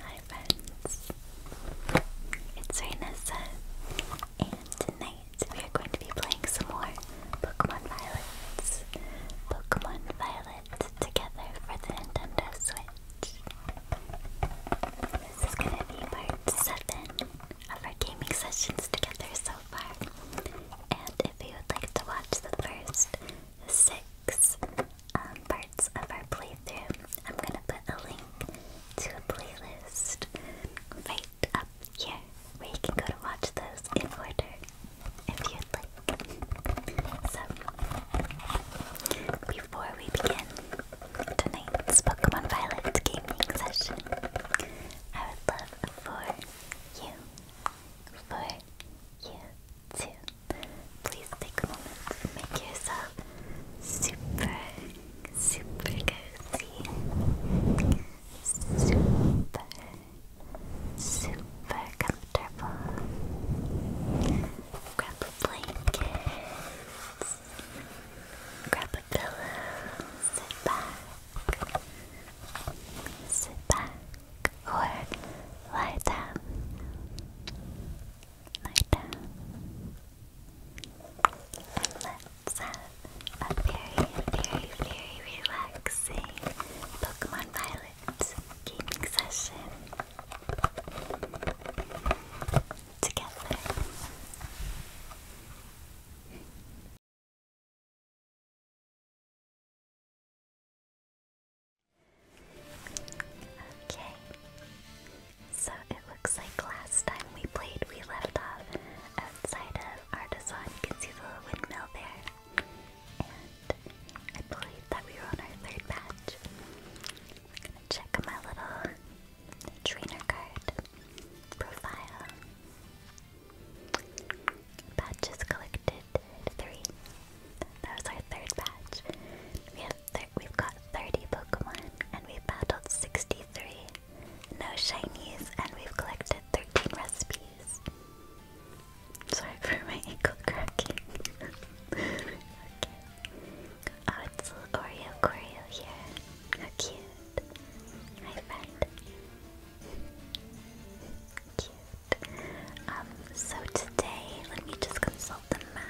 Hi friends, it's Renessa, and tonight we are going to be playing some more Pokemon Violet, Pokemon Violet together for the Nintendo Switch. This is going to be part 7 of our gaming sessions together so far, and if you would like to watch the first six um, parts of our playthrough. I'm gonna put a link to a playlist right up here where you can go to watch those in order if you'd like. So, before we begin tonight's Pokemon Violet gaming session, I would love for you for Please take a moment to make yourself super, super cozy. Super, super comfortable. Grab a blanket. Grab a pillow. Sit back. Sit back or lie down. Lie down. Let's have a very, very, very relaxing Pokemon Violet gaming session together. Okay. So it looks like last time we played, we left off outside of Artisan. You can see the little windmill there. And I believe that we were on our third batch. check my little trainer card profile. Patches collected three. That was our third batch. We have we've got 30 Pokemon and we've battled 63. No shinies and we've collected 13 recipes. Sorry for my ankle cracking. Oh, it's little Oreo Corio here. cute. Hi friend. Um, so today, let me just consult the map.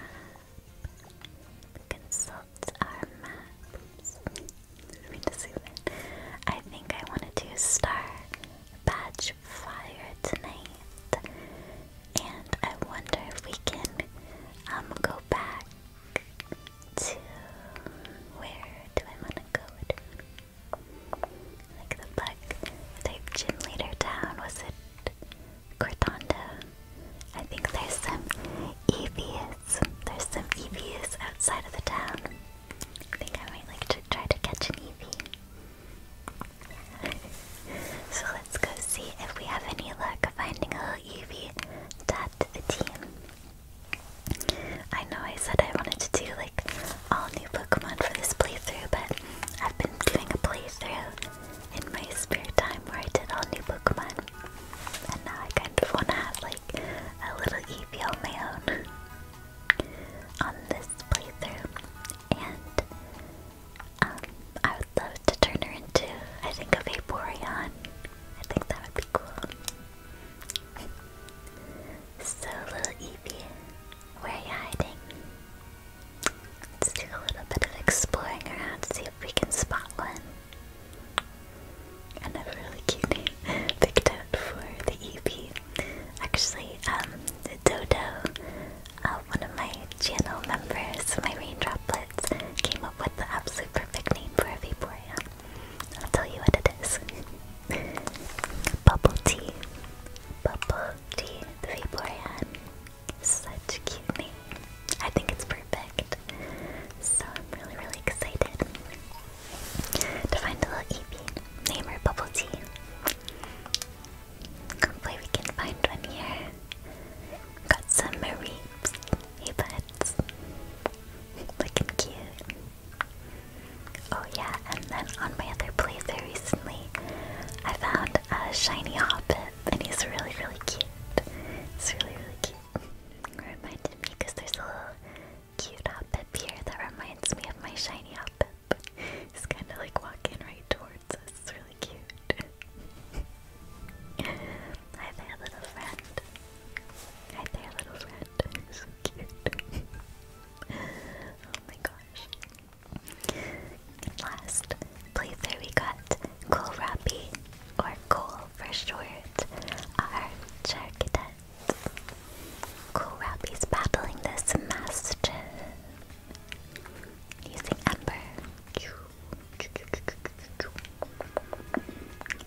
Consult our map. Oops. Let me just zoom I think I wanted to start Star Badge Fire tonight. And I wonder if we can um go back to where do I wanna go? Like the bug type gym leader town, was it Cortanda? I think there's some EVs. There's some EVs outside of the town. I think I might like to try to catch an EV. so let's go see if we have any luck finding a little EV add to the team. I know I said I wanted to do like all new Pokemon for this playthrough, but I've been doing a playthrough in my spare time where I did all new Pokemon, and now I kind of want to have like a little Eevee on my own on this playthrough, and um, I would love to turn her into, I think, a Vaporeon. I think that would be cool. so, little Eevee. Where are you hiding? Let's do a little bit of exploring around to see if we can spot one. Another really cute name picked out for the EP. Actually, um, Dodo, uh, one of my channel members, my rain droplets, came up with the absolute perfect name for a Vaporeon. I'll tell you what it is. Bubble tea. Bubble Tea 341. Such a cute name. I think it's perfect. So I'm really, really excited to find a little Eevee. Name or Bubble Tea. Hopefully we can find one here. Got some Marie Hey buds. Looking cute. Oh yeah, and then on my other very recently, I found a shiny Hoppip, and he's really, really cute. It's really, really cute. reminded me because there's a little cute Hoppip here that reminds me of my shiny Hoppip. He's kind of like walking right towards us. It's really cute. Hi there, little friend. Hi there, little friend. so cute oh my gosh. And last playthrough we got Cool Rappy or Kohl for short, our Cool Rappy's battling this Mastiff using Ember.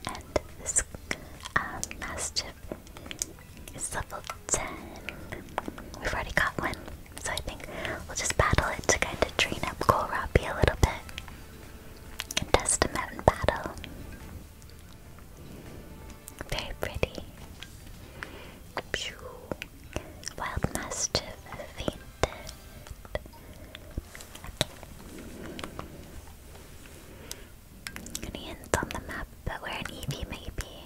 And this um, Mastiff it's level 10. We've already got one, so I think we'll just battle it to kind of train up Kohlrabi a little bit. And battle. Very pretty. Pew. Wild any hints on the map but where an EV may be?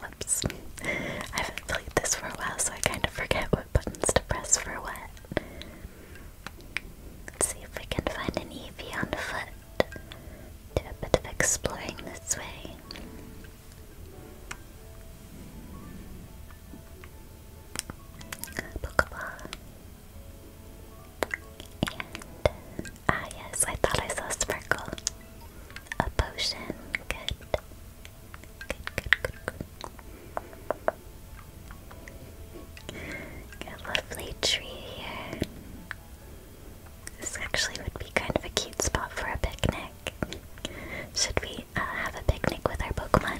Whoops. I haven't played this for a while, so I kind of forget what buttons to press for what. Let's see if we can find an EV on foot. Do a bit of exploring this way. Pokeball. ah yes, I thought I saw Sparkle. A potion, Good, good, good, good. A lovely tree here. This actually would be kind of a cute spot for a picnic. Should we uh, have a picnic with our Pokemon.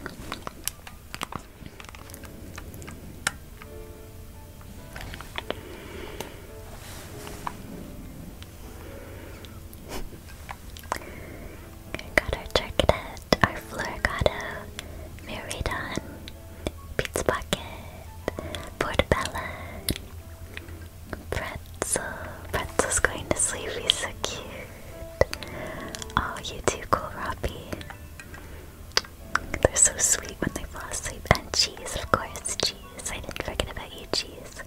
got our Turcadet, our Florigado, Miridon, Pizza Pocket, Portabella, Pretzel. Pretzel's going to sleep, he's so cute. Oh, you two, cool Robbie. They're so sweet when they fall asleep. And cheese, of course, cheese. I didn't forget about you, cheese.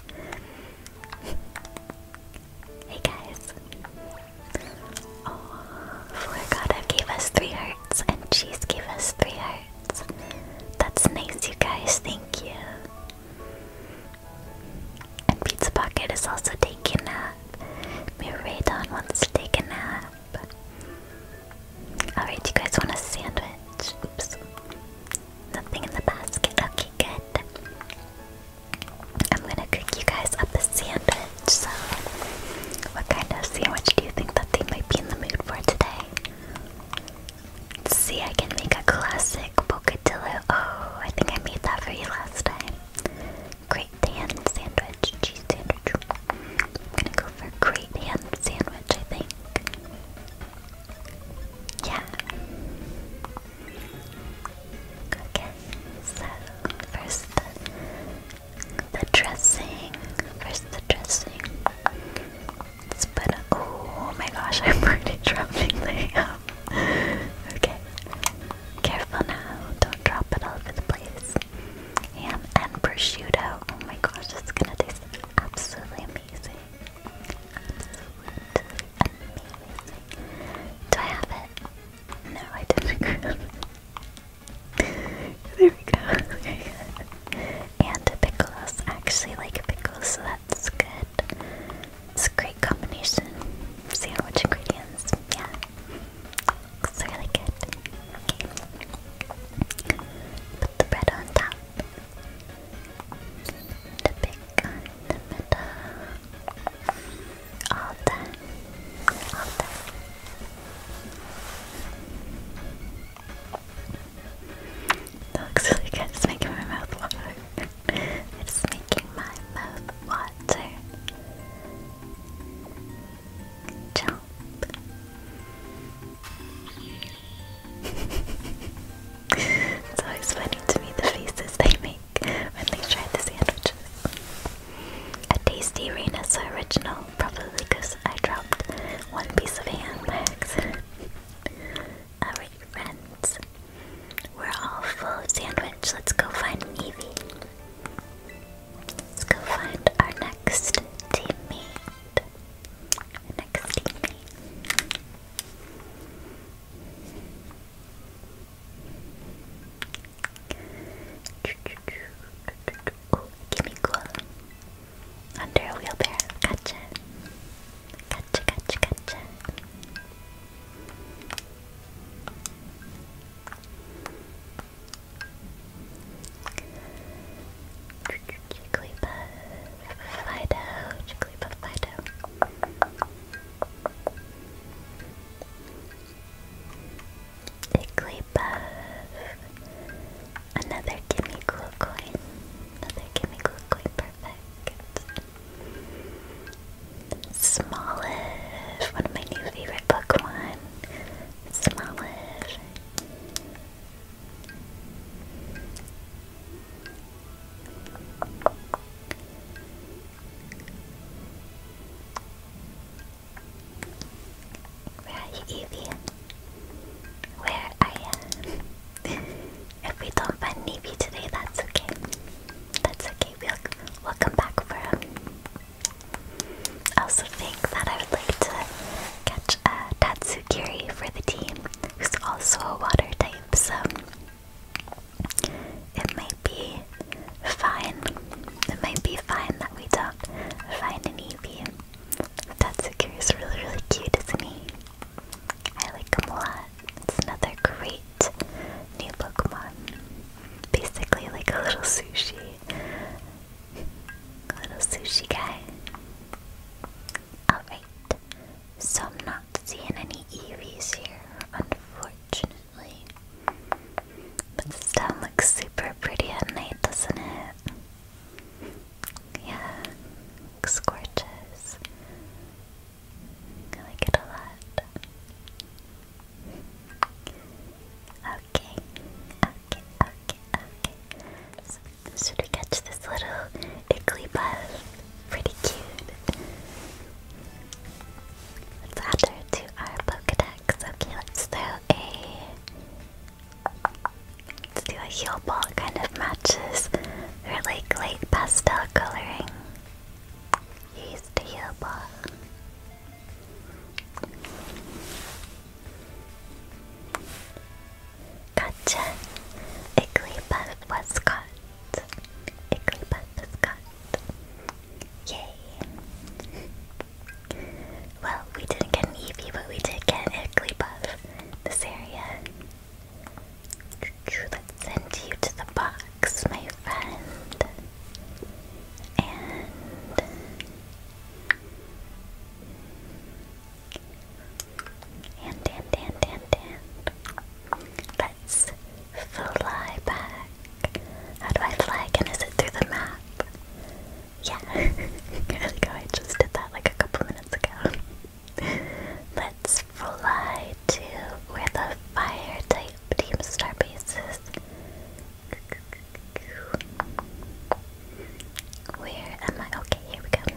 hey guys. Oh, Floor Gotta gave us three hearts, and cheese gave us three hearts. That's nice, you guys. Thank you. And Pizza Pocket is also taking Miradon wants to take a nap. Alright, you guys want a sandwich? Nothing in the basket. Okay, good. I'm gonna cook you guys up a sandwich, so what kind of sandwich do you think that they might be in the mood for today? Let's see, I can make a classic bocadillo. Oh, I think I made that for you last time. Great sandwich, cheese sandwich. I'm gonna go for great sandwich, I think. Yeah. Okay, so first the, dressing. First the dressing. Let's put a, oh my gosh, I'm already dropping okay. Careful now, don't drop it all over the place. Ham and prosciutto. Oh my gosh, it's gonna taste absolutely amazing. Do I have it? No, I didn't there we go. Very good. And pickles. I actually like pickles, so that's good. It's a great combination. Sandwich ingredients. Yeah, Looks really good. Okay. Put the bread on top. The big on the middle. All done. All done. That looks really good. It's making my mouth water. it's making my mouth water. Jump. it's funny to me the faces they make when they try the sandwiches. A tasty Rena's original, probably because I dropped one piece of ham by accident. friends. We're all full of sandwich. Let's go find Evie. Let's go find our next teammate. Our next teammate. Oh, give me cool. Under a wheelbarrow. Gotcha. Gotcha, gotcha, gotcha. Jigglypuff, Fido, Jigglypuff, Fido. Jigglypuff. Another gimme cool coin. Another gimme cool coin, perfect. Smallest, one of my new favorite Pokemon. Smoliv. Where are you, Evie? Where are you? if we don't find Eevee today, that's okay. That's okay, we'll, come back for him. I also think that I would like to catch a Tatsu Tatsukiri for the team, who's also a water type, so it might be fine. It might be fine that we don't find an Eevee. Tatsukiri is really, really cute, isn't he? I like him a lot. It's another great new Pokemon. Basically, like a little sushi. A little sushi guy. Alright. So I'm not seeing any EVs here, unfortunately. But this town looks super pretty at night, doesn't it? Yeah, looks gorgeous. I like it a lot. Okay, okay, okay, okay. should we catch this little iggly buff? Pretty cute. Let's add her to our Pokedex. Okay, let's throw a. Let's do a heel ball, kind of matches her like light pastel coloring. Use the heel ball. Gotcha. Igglybuff was caught. Igglybuff was caught. Yay. Well, we didn't get an but we did get an This area. Let's send you to the bottom my friend. And and and and and let's fly back. How do I fly again? Is it through the map? Yeah. there we go. I just did that like a couple minutes ago. let's fly to where the fire type Team Starbases. Where am I? Okay, here we go.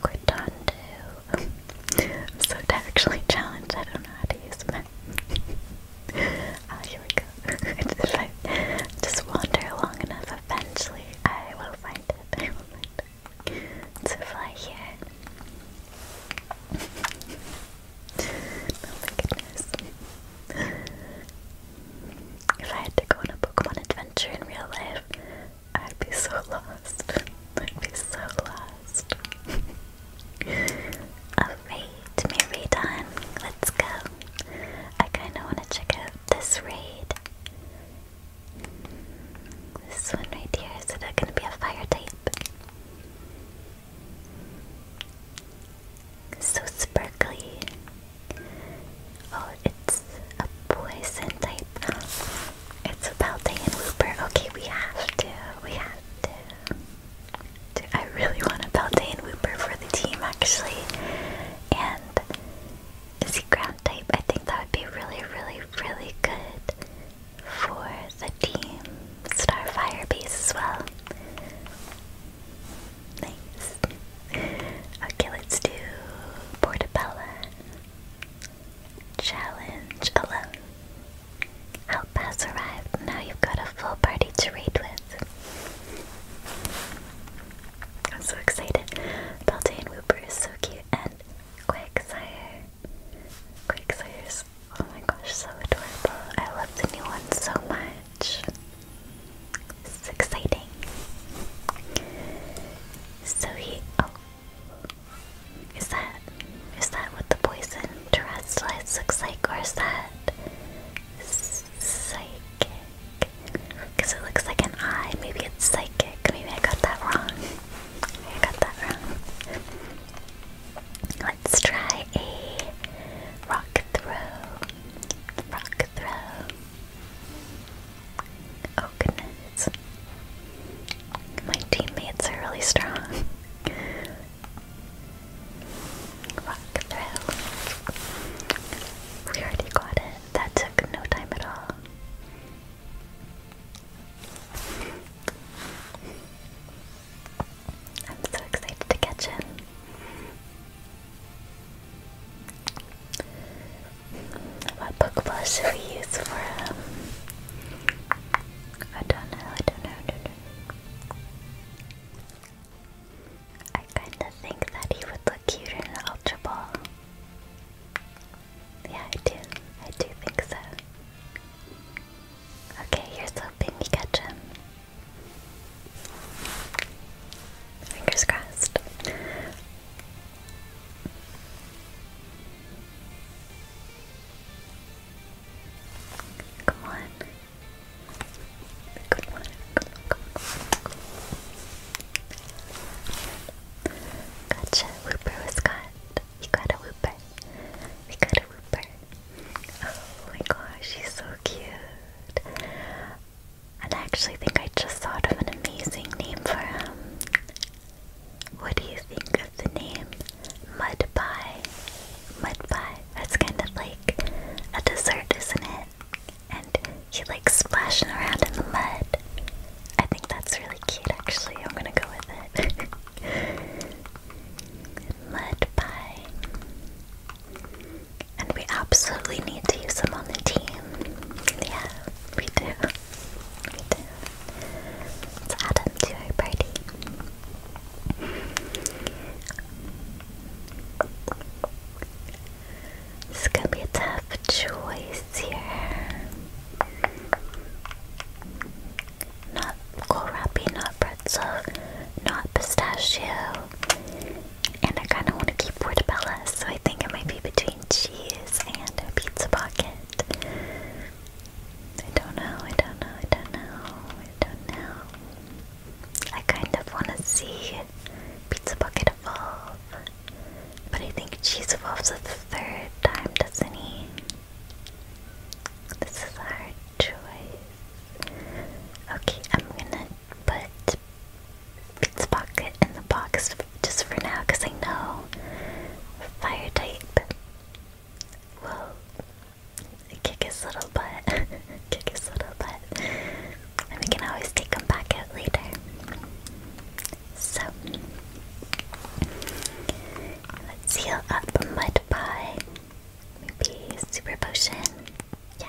Cortando. I'm so actually challenged. I don't know how to use them. Ah, here we go. just wander long enough, eventually I will find it to fly oh If I had to go on a Pokemon adventure in real life, I'd be so lost. I'd be so lost. Alright, my raid on. Let's go. I kinda wanna check out this raid. This one right here, is it gonna be a fire type? So sparkly. Oh, it's a poison type. It's a Paldean Wooper. Okay, we have to. We have to. I really want a Paldean Wooper for the team, actually. And is he ground type? I think that would be really, really, really good for the Team Starfire base as well. Nice. Okay, let's do Portabella. Challenge alone. Help arrived. Now you've got a full party to raid with. I'm so excited. Beltane Wooper is so cute and Quagsire Quagsires. Oh my gosh, so adorable. I love the new one so much. This is exciting. So he oh is that is that what the poison terrestrialites looks like or is that psychic? Because it looks like an eye. Maybe it's psychic. Maybe I got that wrong. I got that wrong. Let's try a rock throw. Rock throw. Oh goodness. My teammates are really strong. Rock throw. We already got it. That took no time at all. I'm so excited to catch him. What Pokeball should we use for him? Um, I don't know, I don't know. I kinda think that he would look cute in an Ultra Ball. Yeah, I do. I do think so. Okay, you're hoping you catch him. Fingers crossed. Come on. Come on. Gotcha, Whooper was caught. We got a whooper. We got a whooper. Oh my gosh, he's so cute. And I actually think I just thought of an amazing name for him. What do you think of the name Mud Pie? Mud Pie. That's kind of like a dessert, isn't it? And he like splashing around in the mud. I think that's really actually. I'm gonna go with it. Mud pie. And we absolutely need to use them on the team. Yeah, we do. We do. Let's add them to our party. This gonna be a tough choice here. Not kohlrabi, not pretzel, not pistachio. And I kind of want to keep portabella, so I think it might be between cheese and a pizza pocket. I don't know, I don't know, I don't know, I don't know. I kind of want to see pizza pocket evolve, but I think cheese evolves with third time, doesn't he? This is our choice. Okay, I'm gonna put Beats Pocket in the box just for now I know Fire type will kick his little butt. kick his little butt. And we can always take him back out later. So let's heal up mud pie. Maybe super potion. Yeah.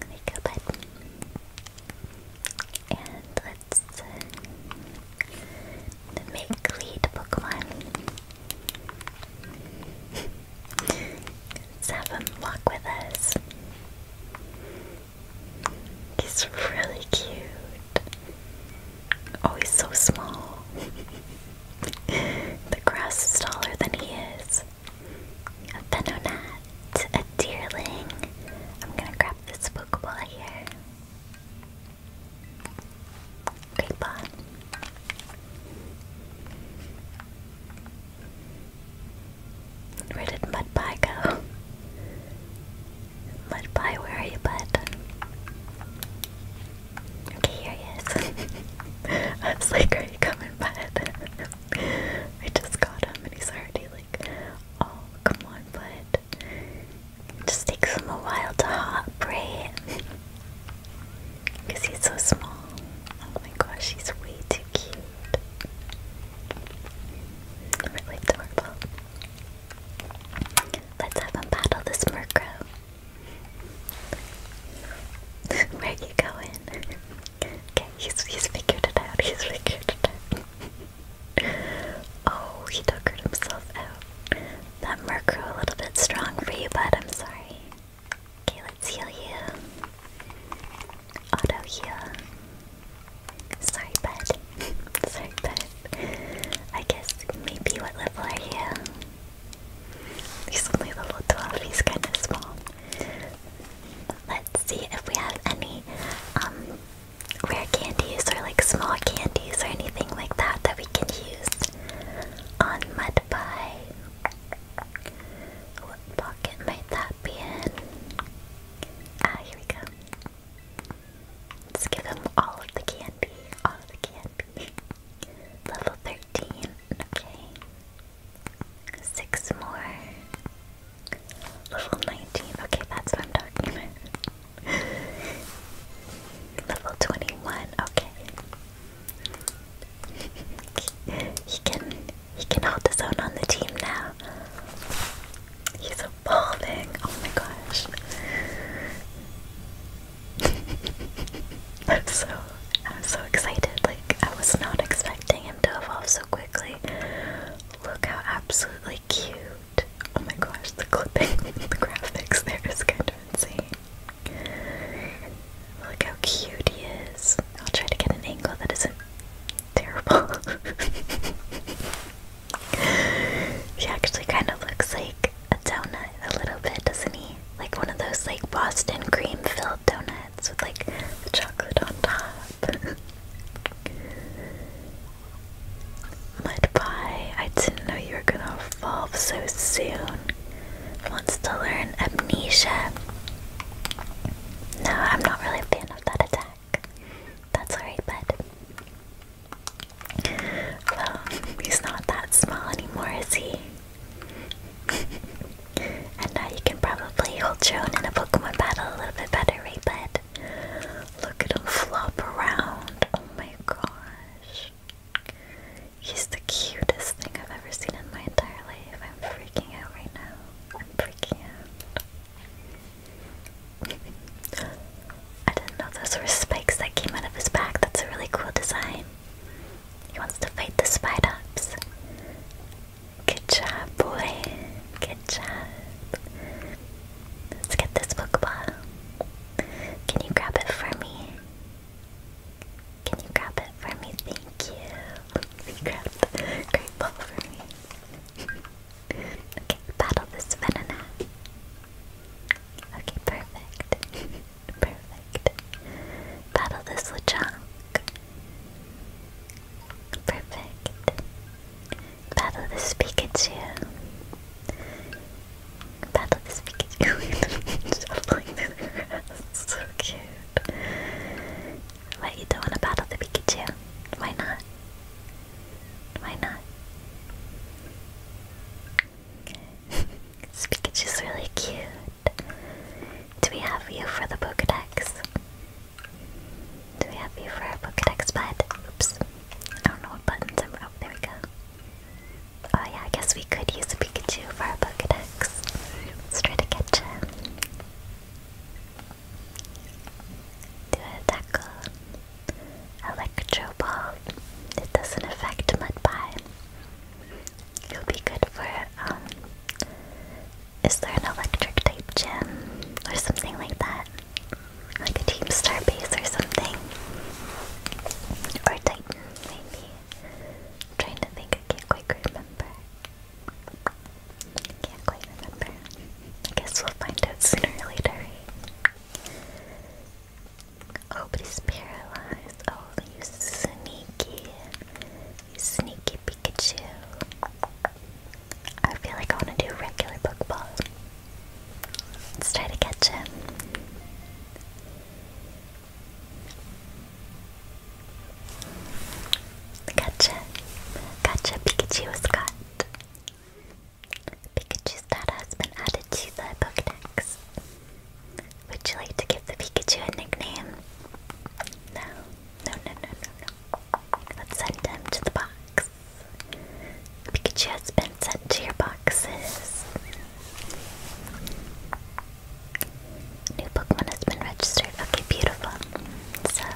There we bud. And let's uh, make lead Pokemon. let's have him walk with us. He's really cute. Oh, he's so small. the grass is taller than he is. A Venonat, a Deerling. I'm gonna grab this Pokeball here. Great ball. Where did Mudpie go? But bye, where are you, bud? Okay, here he is. I am like, are you coming, bud? I just got him and he's already like, oh, come on, bud. It just takes him a while to hop, right? Because he's so small. Oh my gosh, he's way too cute. Really adorable. Let's have a battle this Murkrow. Where you going? okay, he's he's figured it out. He's figured it out. oh, he tuckered himself That Murkrow a little bit strong for you, bud. I'm sorry. Okay, let's heal you. Auto heal. Sorry, bud. Sorry, bud. I guess maybe what level are you? He's only level 12, he's kind of small. Let's see if we have any um, rare candies or like small candies or anything like that that we can use on Mudpie. What pocket might that be in? Ah, here we go. Let's give him all of the candy. All the candy. Level 13. Okay. Six more. Level 19. Okay, that's what I'm talking about. Level 21. Okay. he can he can hold his own on the team now. He's so Oh my gosh. I'm so I'm so excited. Like I was not expecting him to evolve so quickly. Look how absolutely cute. Oh my gosh, the clipping, the graphics there is kind of insane. Look how cute he is. I'll try to get an angle that isn't terrible. She actually kind of looks like a donut a little bit, doesn't he? Like one of those like Boston cream filled donuts with like chocolate on top. Mud pie, I didn't know you were gonna evolve so soon. Wants to learn amnesia. No, I'm not really a fan of that attack. That's alright, bud. Well, he's not that small anymore, is he? and now you can probably hold your in a Pokemon battle a little bit better, right, bud? Look at him flop around. Oh my gosh. He's the cutest thing I've ever seen in my entire life. I'm freaking out right now. I'm freaking out. I didn't know those were spikes that came out of his back. That's a really cool design. He wants to fight the Spidops. Good job, boy. Good job. Let's get this Pokeball. Can you grab it for me? Can you grab it for me? Thank you. You the great for me. Okay, battle this Venona. Okay, perfect. perfect. Battle this Lechonk. Perfect. Battle this Pikachu. Battle this Pikachu. Shuffling through the grass. So cute. Wait, you don't want to battle the Pikachu? Why not? Why not? Pikachu's really cute. Do we have you for the Pokedex? Do we have you for our Pokedex bud? Oops. I don't know what buttons oh, there we go. Oh yeah, I guess we could use Pikachu for our Pokedex. Let's try to catch him. Do a tackle. Electro ball. It doesn't affect Mudpie. It'll be good for um, is there an electric type gym or something like that? Like a Team Star base or something? Or Titan, maybe. trying to think I can't quite remember. Can't quite remember. I guess we'll find out sooner or later, right? Oh, he's paralyzed. Oh, you sneaky. sneaky Pikachu. I feel like I want to do regular Pokeball. Let's try to catch him. Gotcha. Gotcha, Pikachu was caught. Pikachu's data has added to the Pokedex. Would you like to give the Pikachu a nickname? No, no, no, no, no, no. Let's send him to the box. Pikachu has been sent to your boxes. New Pokemon has been registered. Okay, beautiful. So,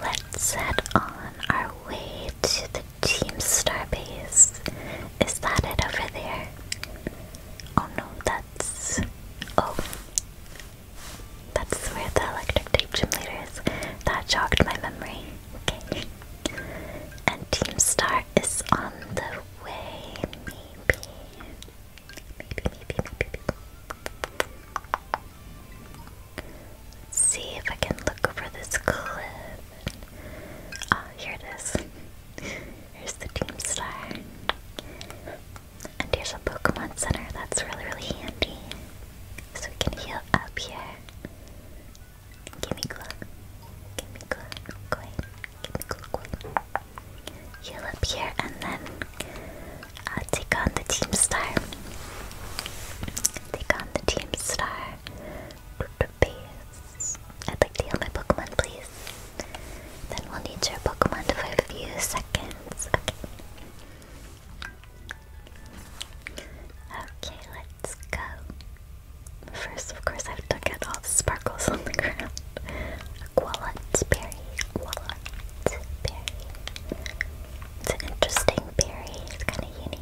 let's head on our way to the Team Star base. Is that it over there? Oh no, that's... Oh. That's where the electric tape gym leader is. That jogged my memory. Okay. And Team Star is on the way, Maybe, maybe, maybe. maybe. Let's see if I can look over this cliff. Ah, here it is. Here's the Team Star. And here's a Pokemon Center. That's really, really handy. So we can heal up here. Gimme glow. Gimme glow. Coin. Gimme glow coin. Heal up here and then uh, take on the Team Star. Take on the Team Star. Base. I'd like to heal my Pokemon, please. Then we'll need your Pokemon for a few seconds. Okay. Okay, let's go. First, of course, I have to get all the sparkles on the ground. Like walnut berry, walnut berry. It's an interesting berry, it's kind of unique.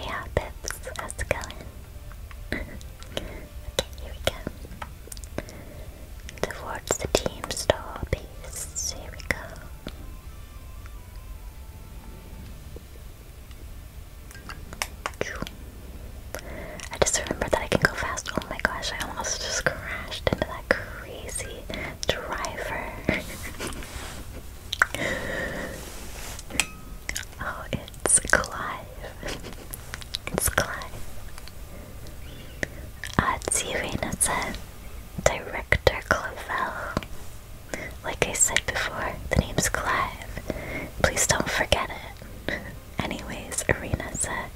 Yeah, Pips, how's it going? okay, here we go. Towards the team store base, here we go. I just remember that I can go fast. Oh my gosh, I almost just crashed into that crazy driver. oh, it's Clive. it's Clive. Atsi Renata, Director Clavel. Like I said before, the name's Clive. Please don't forget it. Anyways, Arena said,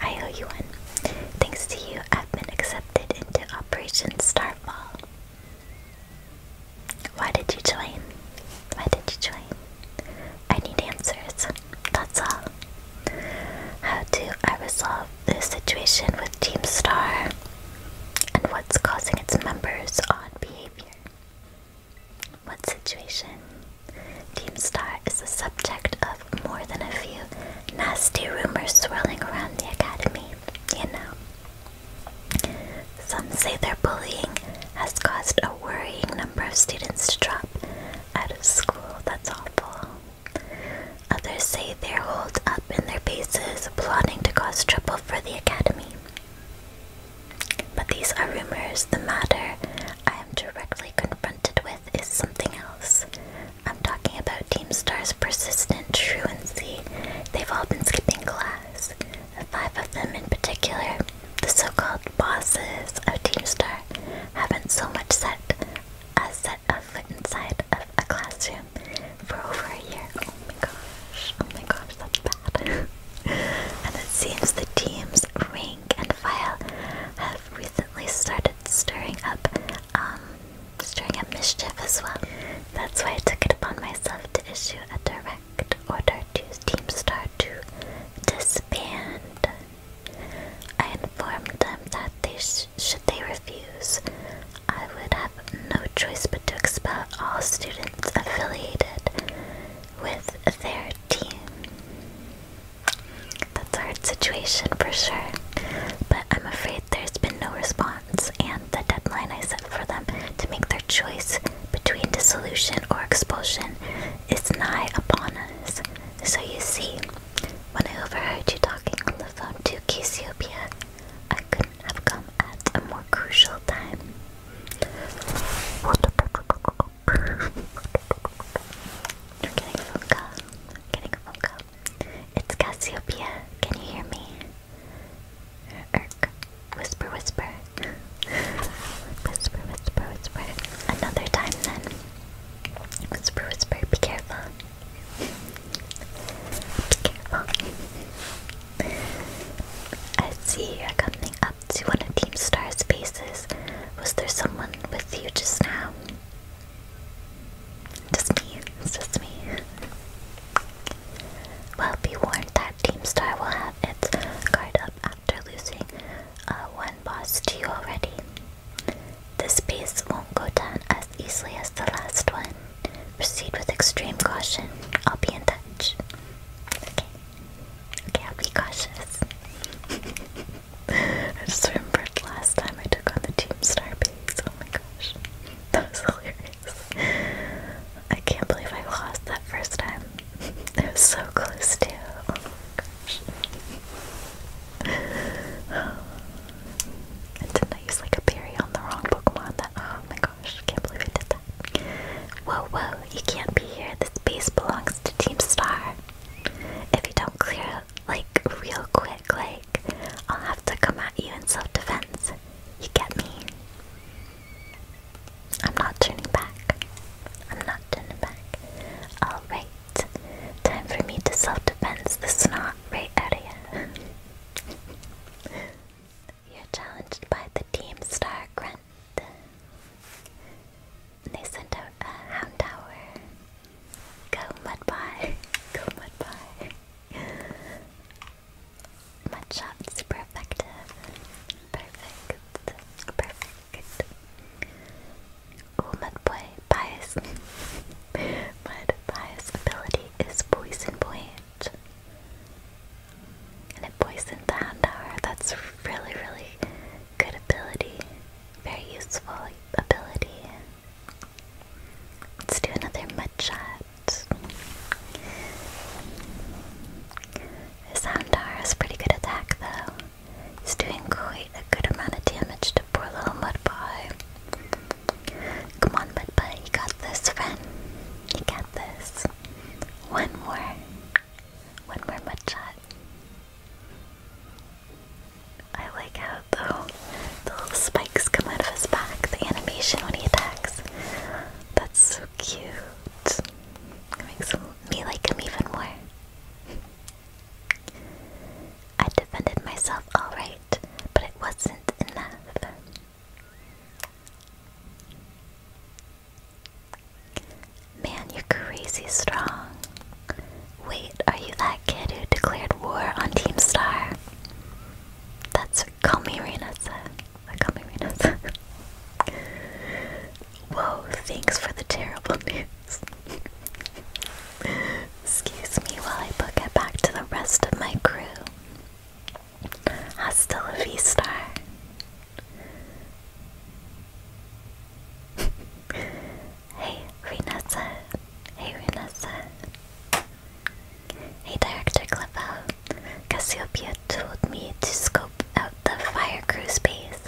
I owe you one. Thanks to you, I've been accepted into Operation Starfall. Why did you join? Why did you join? I need answers. That's all. How do I resolve this situation with Team Star? And what's causing its members' odd behavior? What situation? Team Star is the subject of more than a few nasty rumors swirling around the academy, you know. Some say their bullying has caused a worrying number of students to drop out of school. That's awful. Others say they're holed up in their bases, plotting to cause trouble for the academy. But these are rumors. The matter I am directly confronted with is something else. I'm talking about Team Star's persistent truancy. They've all been skipping class. The five of them in particular, the so-called bosses of Team Star, haven't so much set a set of foot inside of a classroom for over a year. Oh my gosh, oh my gosh, that's bad. and it seems the team's rank and file have recently started stirring up um, stirring mischief as well. That's why I took it upon myself to issue a direct order to Team Star to disband. I informed them that should they refuse, I would have no choice but to expel all students affiliated with their team. That's a hard situation for sure, but I'm afraid there's been no response, and the deadline I set for them to make their choice between dissolution or expulsion is nigh upon us. So you see, when I overheard you talking on the phone to Cassiopeia, I couldn't have come at a more crucial time. You're getting a phone call. getting a phone call. It's Cassiopeia. Can you hear me? Erk. Whisper, whisper. whisper, whisper, whisper. Another time then. Whisper, whisper. Be careful. Be careful. I see you're coming up to one of Team Star's bases. Was there someone with you just now? Just me. It's just me. Well, be warned that Team Star will have its guard up after losing uh, one boss to you already. This base won't go down as easily as the last one. Proceed with extreme caution. I'll be in touch. Okay. Okay, I'll be cautious. I just remembered last time I took on the Team Star base. Oh my gosh. That was hilarious. I can't believe I lost that first time. It was so close to. Oh my gosh. And didn't use like a berry on the wrong Pokemon? That, oh my gosh, can't believe I did that. Whoa, whoa, you can't be here. This base belongs to Team Star. If you don't clear like, real quick, like, I'll have to come at you in self defense. You get me? I'm not turning back. I'm not turning back. Alright, time for me to self defense This the snot right area. You're challenged by the Team Star Grunt. They sent out a Hound Tower. Go Mudpie! Go Mudpie! Mudshot's perfect. Perfect. Perfect. Oh, Mudboy, bias. Mud ability is poison And it poisoned the Houndour. That's really, really good ability. Very useful ability. Let's do another mudshot. Soundar is pretty good attack though. He's doing quite a good amount of damage to poor little Mudboy. Come on, Mudboy, you got this, friend. You got this. One more. One more mudshot. I like how the, little spikes come out of his back, the animation when he attacks. That's so cute. It makes me like him even more. I defended myself alright, but it wasn't enough. Man, you're crazy strong. Wait, are you that kid who declared war on Team Star? That's Kami Call Kami Renasa. Whoa, thanks for the terrible news. Excuse me while I book back to the rest of my crew. Hasta la vista hey, Renessa. Hey, Renessa. Hey, Director Clippo. Cassiopeia told me to scope out the fire crews space.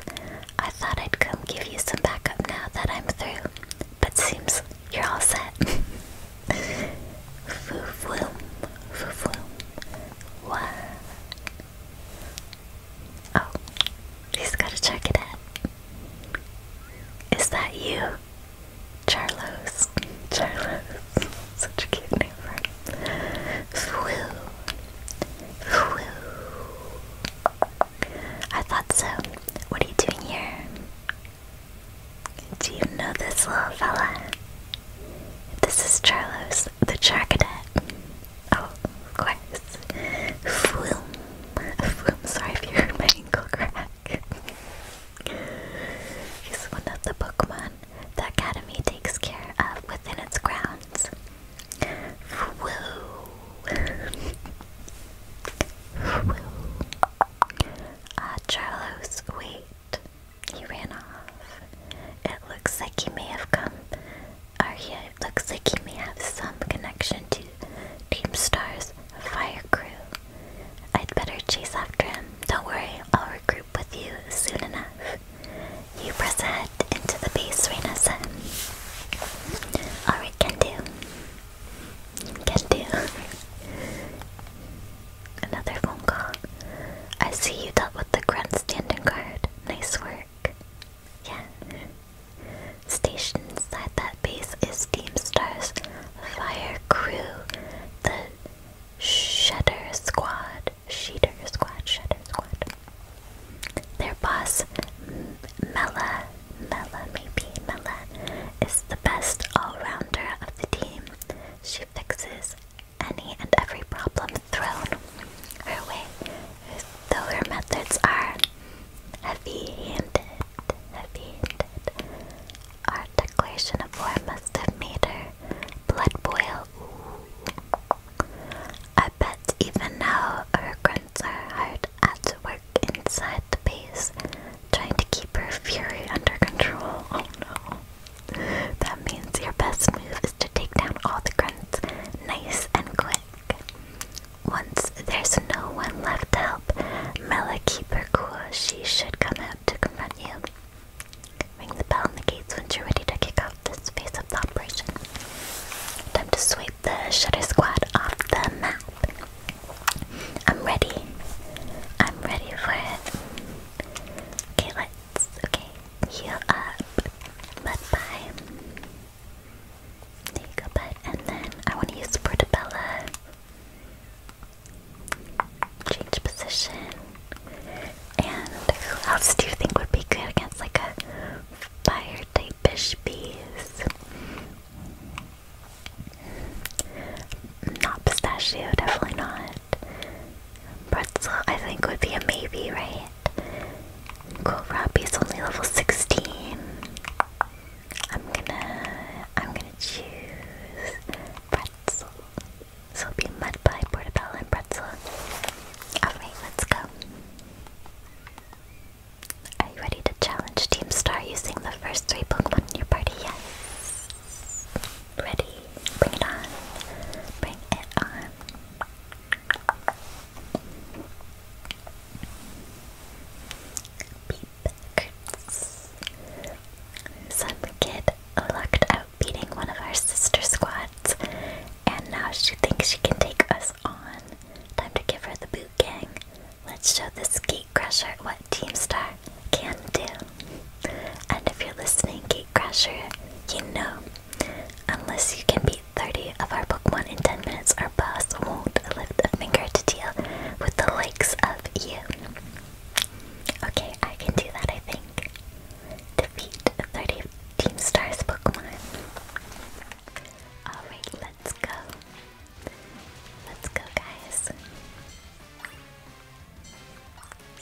I thought I'd come give you some backup now that I'm through, but seems you're all set. Foofloom, foofloom. What? Oh, he's gotta check it is that you? Charlos. Charlos. Such a cute name for him. Fwoo. Fwoo. I thought so. What are you doing here? Do you know this little fella? This is Charlos, the Char Oh, of course this film. film sorry if you heard my ankle crack. He's one of the Pokemon the Academy takes care of within its grounds. Woo! Woo! Ah, uh, wait. He ran off. It looks like he may have come. Arya, it looks like he may have some connection to Team Stars, Fire Crew. I'd better chase after him. Don't worry, I'll regroup with you soon enough. You press ahead into the base, Reina said. Alright, can do. Can do. Another phone call. I see you dealt with the standing guard. Nice work. Yeah. Stationed inside that base is Teamstar's Fire Crew, the Shedder Squad. Sheeter Squad, Shedder Squad. Their boss, Mela, Mela maybe, Mela, is the best all-rounder of the team. She fixes any and every problem thrown her way, though her methods are heavy-handed heavy-handed. Our declaration of war must have made her blood boil. Ooh. I bet even now her grunts are hard at work inside the base, trying to keep her fury under control. Oh no. That means your best move is to take down all the grunts nice and quick. Once there's no one left to help, Mela keep her cool. She should come out to confront you. Ring the bell on the gates when you're ready to kick out this phase of the operation. Time to sweep the Shutter Squad off the map. I'm ready. I'm ready for it. Okay, let's. Okay, heal up. Mudbye. There And then I want to use Portabella. Change position. And who else do you think would be good against like a fire type beast? Not pistachio, definitely not. Pretzel, I think, would be a maybe, right? is only level 16. I'm gonna I'm gonna choose pretzel. So it'll be mud pie, portobello, and pretzel. Alright, let's go. Are you ready to challenge Team Star using the first three Pokemon in your party? Yes. Ready? Bring it on. Bring it on. Some kid lucked out beating one of our sister squads, and now she thinks she can take us on. Time to give her the boot gang. Let's show this gate crusher what Team Star can do. And if you're listening, Gate Crusher, you know, unless you can beat 30 of our book one in 10 minutes Our boss won't lift a finger to deal with the likes of you. Okay, I can do that, I think. Defeat 30 Team Stars Pokemon. Alright, let's go. Let's go, guys.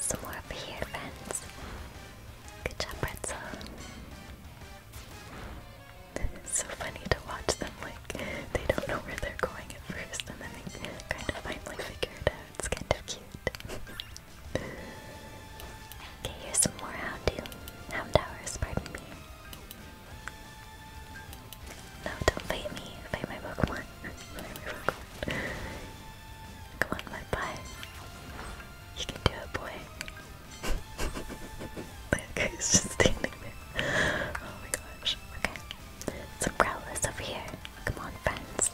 Some more over friends. Good job, Pretzel. It's so funny to watch them, like, they don't know where they're going at first, and then they kind of finally figure it out. It's kind of cute. okay, here's some more Houndoom. Houndours, pardon me. No, don't fight me. Fight my Pokemon. my Pokemon. Come on, my pie. You can do it, boy. That guy's just standing there. Oh my gosh. Okay. Some growlers over here. Come on, friends.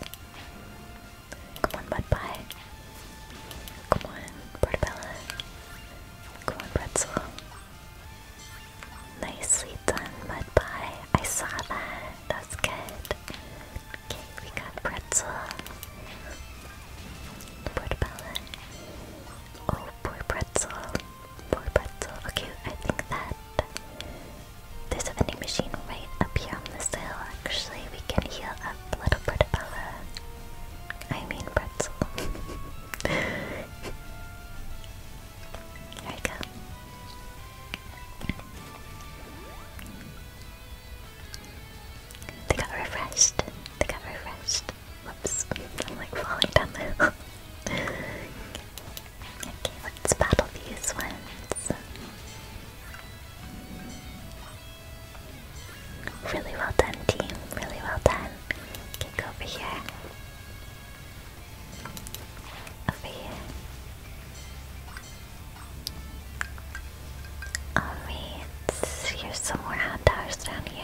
Come on, Mudpie. Come on, Portabella. Come on, Pretzel. Nicely done, Mudpie. I saw that. That's good. Okay, we got Pretzel. Portabella. Oh, poor pretzel. pretzel. Okay, I think that there's a vending machine right up here on the hill. Actually, we can heal up little Portabella. Uh, I mean pretzel. there you go. They got refreshed. They got refreshed. Whoops, I'm like falling down the okay, let's battle these ones. Really well done, team. Really well done. Okay, go over here. Over here. here's some more hot towers down here.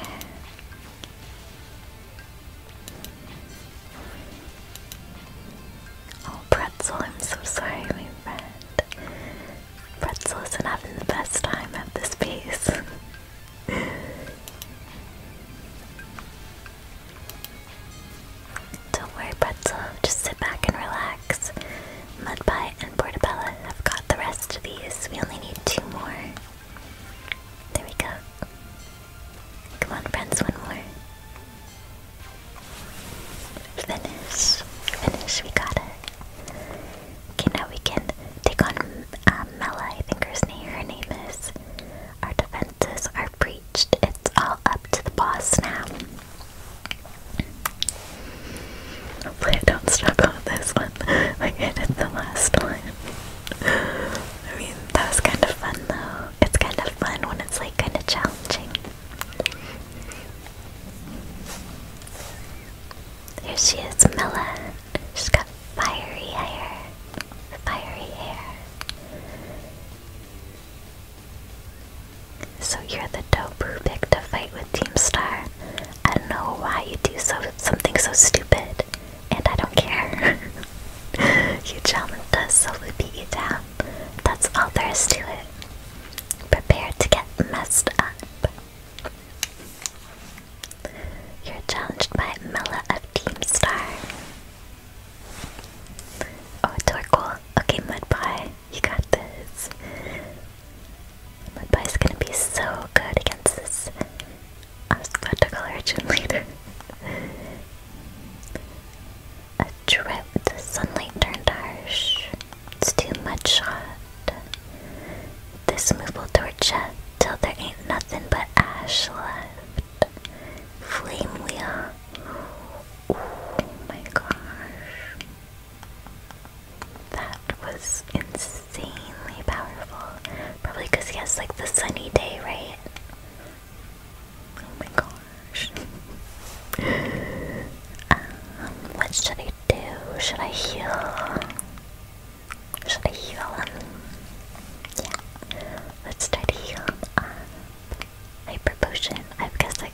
Oh, Pretzel, I'm so sorry, my friend. Pretzel isn't having the best time at this pace. Don't worry, Pretzel. Just sit back and relax. Mudpie and Portabella have got the rest of these. We only need two more. There we go. Come on, friends, one more. Finish. Finish, we got it. Okay, now we can take on um, I think her name, her name is. Our defenses are breached. It's all up to the boss now. Hopefully I don't struggle this one like I did the last one. I mean, that was kind of fun though. It's kind of fun when it's like kind of challenging. Here she is, Mela. She's got fiery hair. Fiery hair. So you're the dope who picked a fight with Team Star. I don't know why you do so something so stupid, and I don't care. You challenge does slowly beat you down. That's all there is to it. Prepare to get messed up. You're challenged by Mela of Team Star. Oh, Torkoal. Okay, Mudpie, you got this. My is gonna be so good against this. I am about to call her gym leader. A drip. The sunlight turned harsh. It's too much shot. This move will torture till there ain't nothing but ash left. Flame wheel. Oh my gosh. That was insane insanely powerful. Probably because he has like the sunny day, right? Oh my gosh. um, what should I do? Should I heal? Should I heal him? Yeah. Let's try to heal him up. Hyper potion. I guess I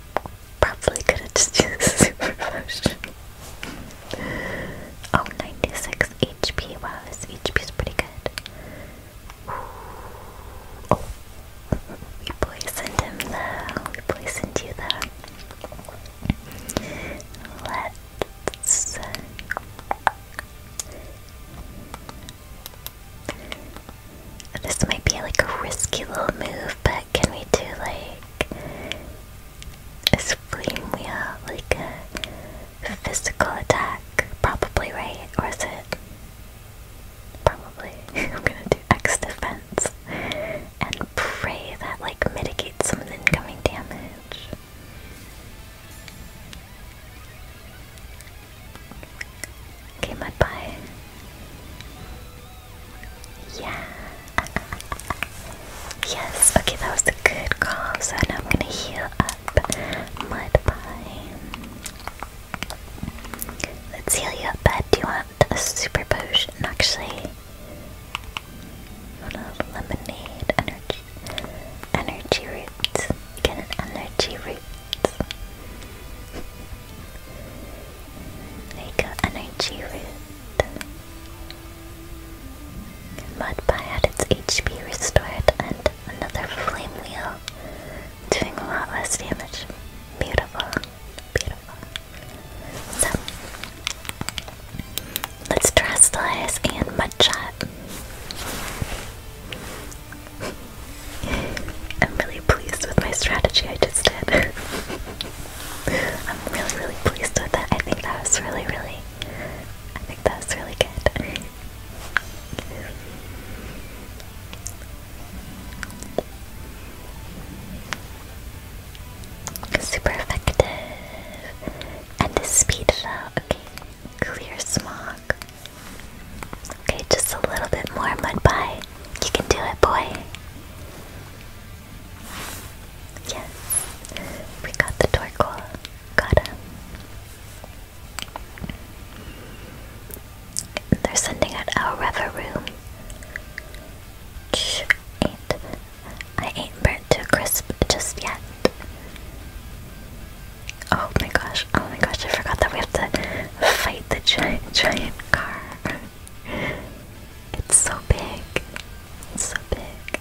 probably could have just used super potion. Oh, 96 HP. Wow, this HP is pretty good. Ooh. Oh, we him though. We poisoned you though. Let's. Uh, this might be like a risky little move, but can we do like a flame wheel, like a physical attack, probably, right? Or is it? Probably. I'm gonna do X defense and pray that, like, mitigates some of the incoming damage. Okay, Mudpie. Yeah yes, okay, that was a good call. So now I'm gonna heal up Mudpie. Let's heal you up, bud. Do you want a super potion? Actually, hold on, lemonade, energy, energy roots. Get an energy root. Make you energy root. Mudpie had its HP restored and another flame wheel, doing a lot less damage. Beautiful, beautiful. So, let's Terrestrialize and Mudshot. I'm really pleased with my strategy I just did. I'm really, really pleased with it. I think that was really, really I think that's really good. Super effective. And to speed it out, okay. Clear smog. Okay, just a little bit more mud pie. You can do it, boy. Yes, we got the Torkoal. Got him. They're sending out our Reveroom. Shh, ain't. I ain't burnt to crisp just yet. Oh my gosh, oh my gosh, I forgot that we have to fight the giant, giant car. It's so big. It's so big.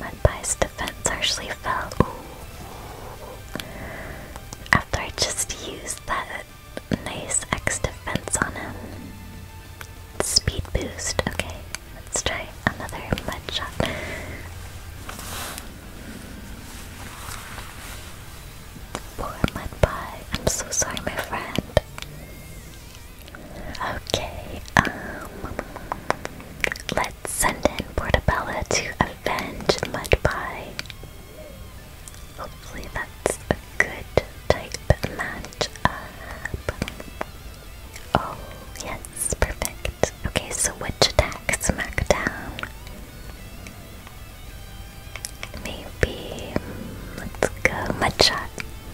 Led defense actually fell. Ooh. After I just used that nice X defense on him. Speed boost. Okay, let's try another mud Poor mud I'm so sorry, my friend. Okay, um, let's send in Portabella to avenge Mudpie. Hopefully that's a good type match Oh, yes, perfect. Okay, so which attack? Smackdown. Maybe, let's go Mudshot.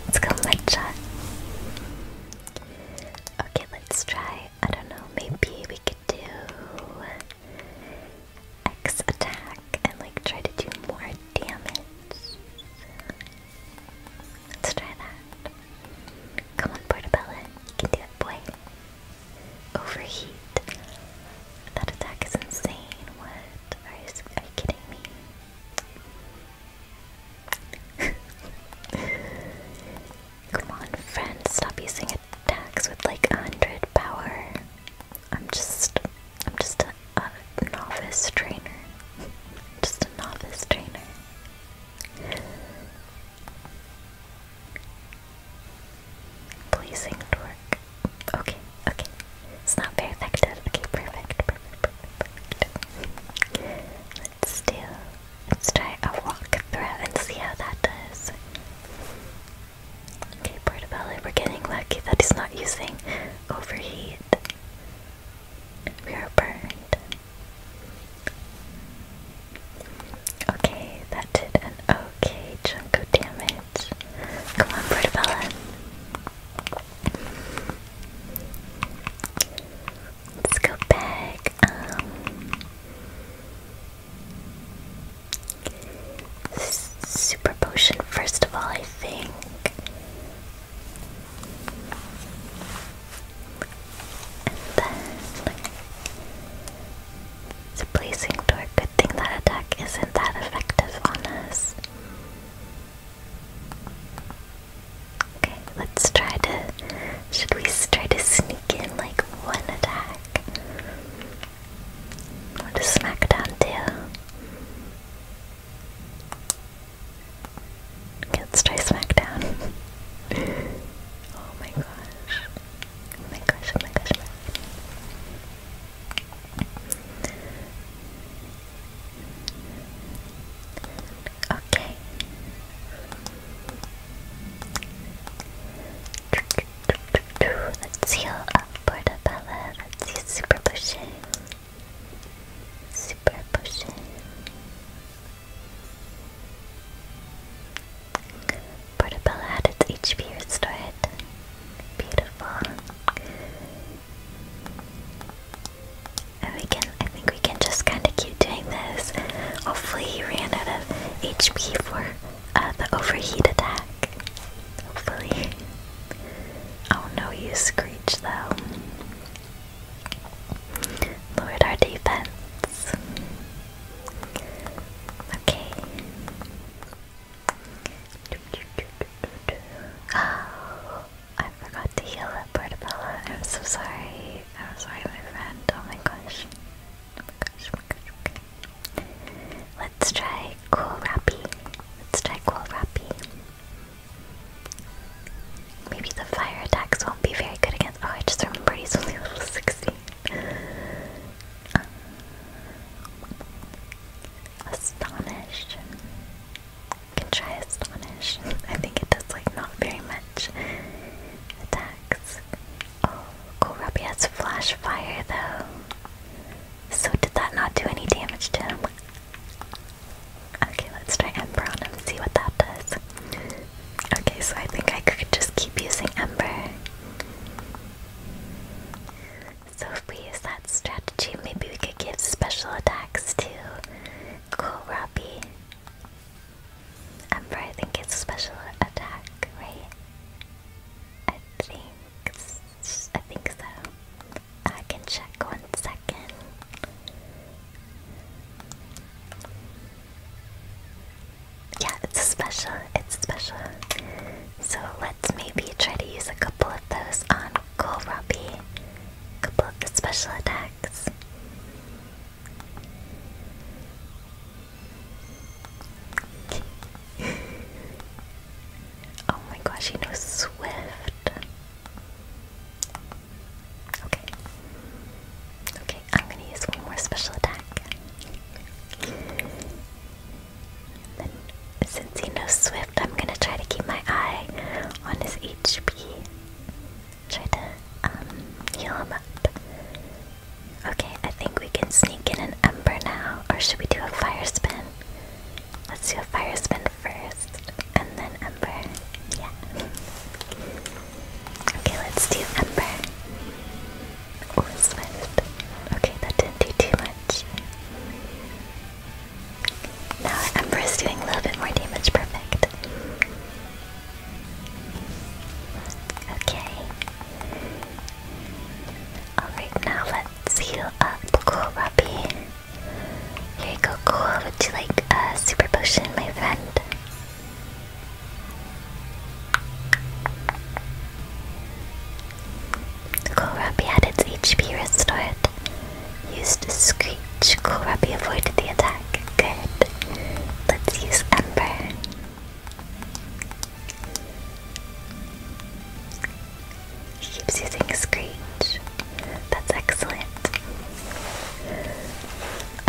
Let's go matcha. Okay, let's try. I don't know, maybe we could do X attack and like try to do more damage. Let's try that. Come on, Portabella. You can do it, boy. Overheat. That attack is insane. What? Are are you kidding me? Come on, friend, stop using attacks with like 100 power. I'm just, I'm just a, novice trainer. just a novice trainer. Blazing torque. Okay, okay. It's not perfected. Okay, perfect, perfect, Let's do, let's try a walk through and see how that does. Okay, Portobello, we're getting lucky That is not using overheat. We are burned. Okay, that did an okay chunk of damage. Come on, Portabella. Let's go back. Um, super potion, first of all, I think. then. It's blazing door. Good thing that attack isn't that effective on us. Okay, let's try to. Should we try to sneak in like one attack? What does Smackdown do? Okay, let's try Smackdown. oh Oh my gosh, oh my gosh, oh my gosh. Oh Okay. Let's heal up Portabella. Let's use Super Potion. Super Potion. Portabella had its HP restored. Beautiful. I think we can just kind of keep doing this. Hopefully he ran out of HP for uh, the overheat attack. Hopefully. Oh no, you screech though. Lowered our defense. Okay. Oh. I forgot to heal up Portabella. I'm so sorry. I'm sorry, my friend. Oh my gosh. Oh my gosh, oh Let's try Cool Rappy. Let's try Cool Rappy. Maybe the fire attacks won't be very good against. Oh, I just remember he's only level 16. Uh, can try Astonish. I think it does like not very much attacks. Oh, Kohlrabi has Flash Fire though. So did that not do any damage to him? Okay, let's try Ember on him, see what that does. Okay, so I think I could just keep using Ember. So if we use that strategy. Maybe we could give special attacks to Kohlrabi. Emperor, I think it's a special attack, right? I think, I think so. I can check one second. Yeah, it's special. It's special. So let's maybe try to use a couple of those on Kohlrabi a couple of special attacks. oh my gosh, he knows Swift. Okay. Okay, I'm gonna use one more special attack since he knows Swift, I'm gonna try to keep my eye on his HP. Try to um, heal him up. Okay, I think we can sneak in an Ember now, or should we do a Fire Spin? Let's do a Fire Spin first, and then Ember. Yeah. Okay, let's do Ember. Or Swift. Okay, that didn't do too much. Now Emperor's doing a little bit more damage, perfect. Okay. Alright, now let's heal up Cool Robbie. Here you go, Would you like a super potion, my friend? Kohlrabi had its HP restored. Used Screech. Kohlrabi avoided the attack. Good. Let's use Ember. keeps using Screech. That's excellent.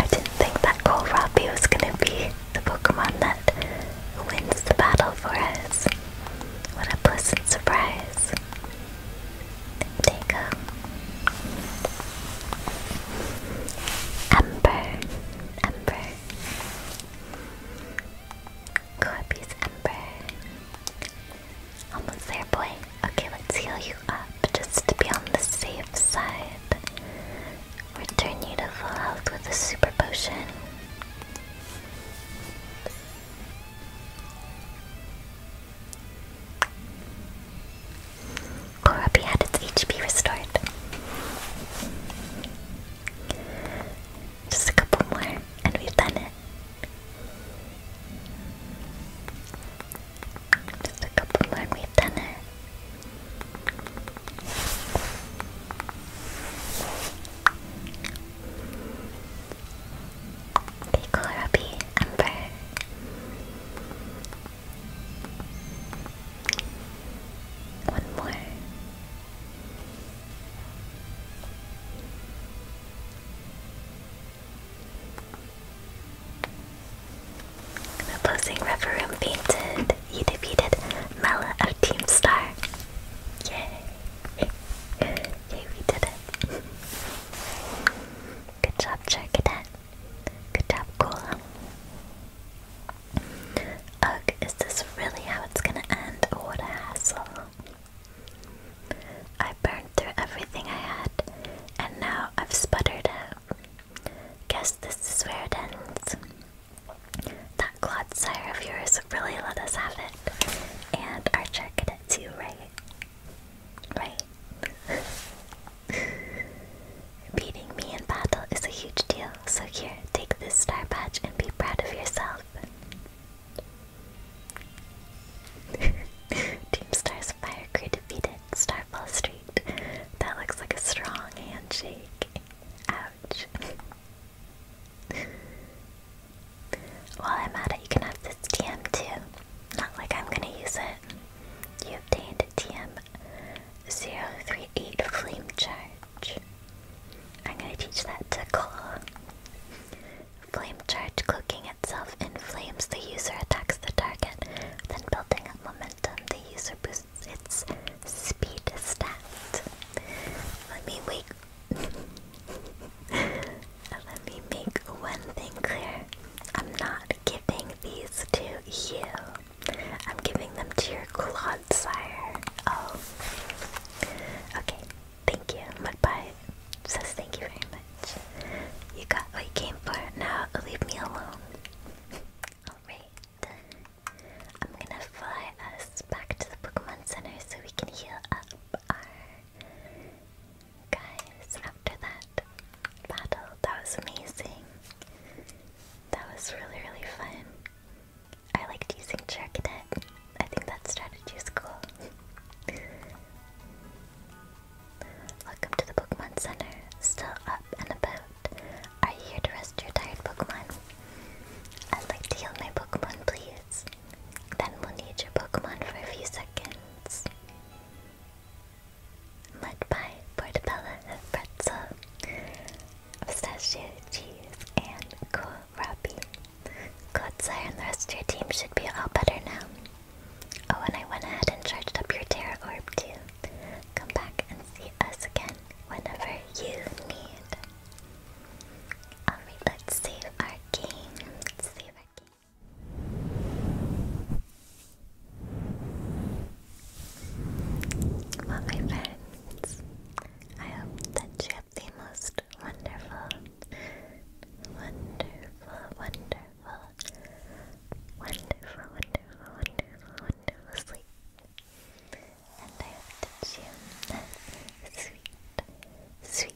I didn't think that Kohlrabi was gonna be the Pokemon that wins the battle for us. What a pleasant surprise. There you go. Ember, Ember. Corby's Ember. Almost there, boy. Okay, let's heal you up just to be on the safe side. Return you to full health with a super potion. Korabi had its HP restored. Just a couple more, and we've done it. Just a couple more, we've done it. Pickle Ruby Ember. One more. Opposing Referum painted. You defeated Mela of Team Star. Yay! Yay, we did it. Good job, Charcadet. Good job, Cola. Ugh, is this really how it's gonna end? What a hassle. I burned through everything I had, and now I've sputtered Guess this is where it ends. That clod sire of yours really let us have it. And our Charcadet too, right? Right? Beating me in battle is a huge deal, so here, take this star badge and be proud of yourself. Team Star's fire crew defeated Starfall Street. That looks like a strong handshake. Ouch. While I'm at it, you can have this TM too. Not like I'm gonna use it. You obtained TM038 Flame Charge. I'm gonna teach that to Claw. Flame Charge cloaking itself inflames The user attacks the target, then building up momentum, the user boosts its speed stat. Let me wake Let me make one thing clear. I'm not giving these to you. I'm giving them to your clod sire. Oh. Okay. Thank you. Mudbite says thank you very much. You got what you came for. Now leave me alone. Alright. I'm gonna fly us back to the Pokemon Center so we can heal up our guys after that battle. That was amazing. That was really, really fun. I liked using Charcadet. I think that strategy is cool. Welcome to the Pokemon Center. Still up and about. Are you here to rest your tired Pokemon? I'd like to heal my Pokemon, please. Then we'll need your Pokemon for a few seconds. Mudpie, Portabella, Pretzel, Pistachio, Cheese, and Kohlrabi. Godsire and the rest of your team should be all better now. Oh, and I went ahead and charged up your Terra Orb too. Come back and see us again whenever you need. Alright, let's save our game. Let's save our game. Well, my friends, I hope that you have the most wonderful, wonderful, wonderful, wonderful, wonderful, wonderful, wonderful sleep. And I hope that you have sweet, sweet,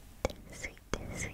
sweet, sweet,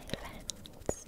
my friends.